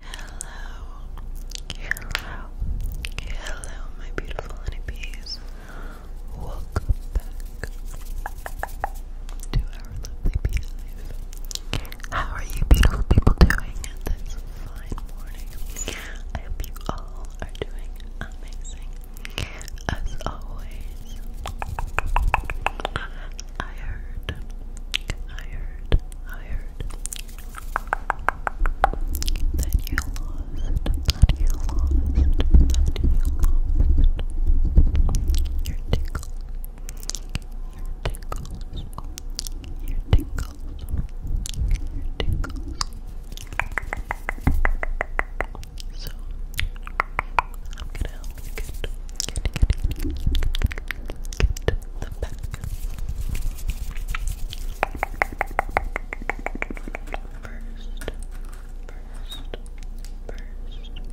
Hello, hello, hello, my beautiful honeybees. Welcome back to our lovely bee life. How are you, beautiful people, doing this fine morning? I hope you all are doing amazing. As always, I heard, I heard, I heard that you lost, that you lost, that you lost your tickle, your tickles, your tickles, your tickles. So, I'm gonna help the back. First, first, first, first.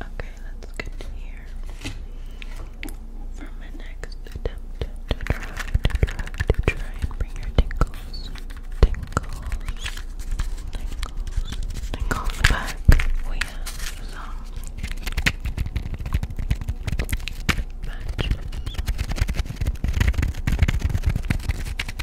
Okay, let's continue for my next attempt to try, to try, and bring your tingles, tingles, tingles, tingles back. We have some matches.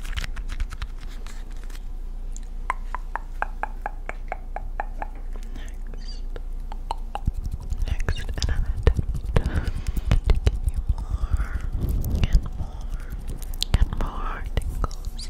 Next. Next, another attempt to give you more and more and more tingles.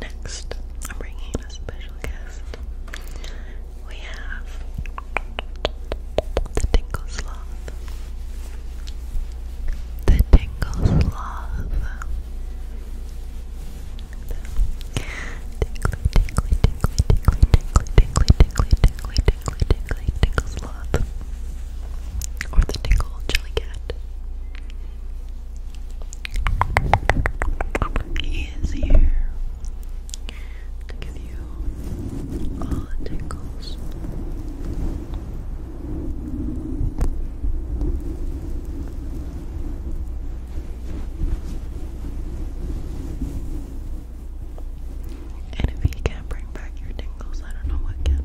Next, I'm bringing a special guest. We have the Tingle Sloth. The Tingle Sloth. Tingly, tingly, tingly, tingly, tingly, tingly, tingly, tingly, tingly, tingle sloth. Or the tingle jellycat. He is here to give you all the tingles. And if you can't bring back your tingles, I don't know what can.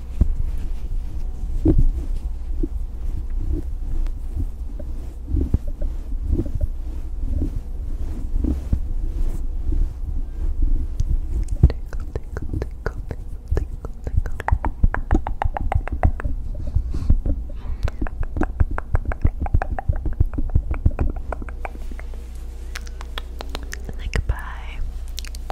Like bye.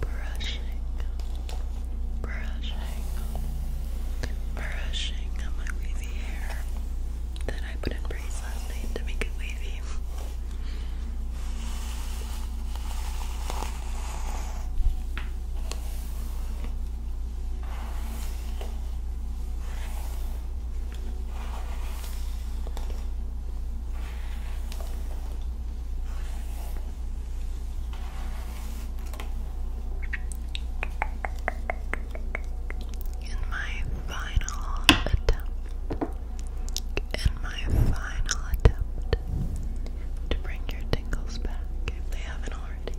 Brushing, brushing, brushing my wavy hair that I put in braids last night to make it wavy. In my final attempt and my final attempt to bring your tingles back if they haven't already.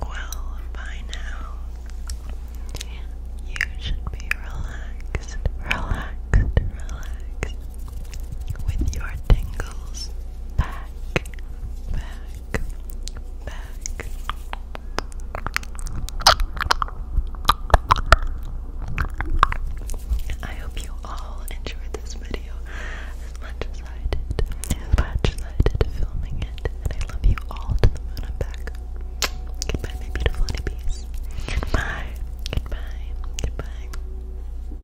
Well, by now you should be relaxed, relaxed, relaxed with your tingles back back, I hope you all enjoyed this video as much as I did, as much as I did filming it. And I love you all to the moon and back. Goodbye, my beautiful honeybees. Goodbye, goodbye, goodbye.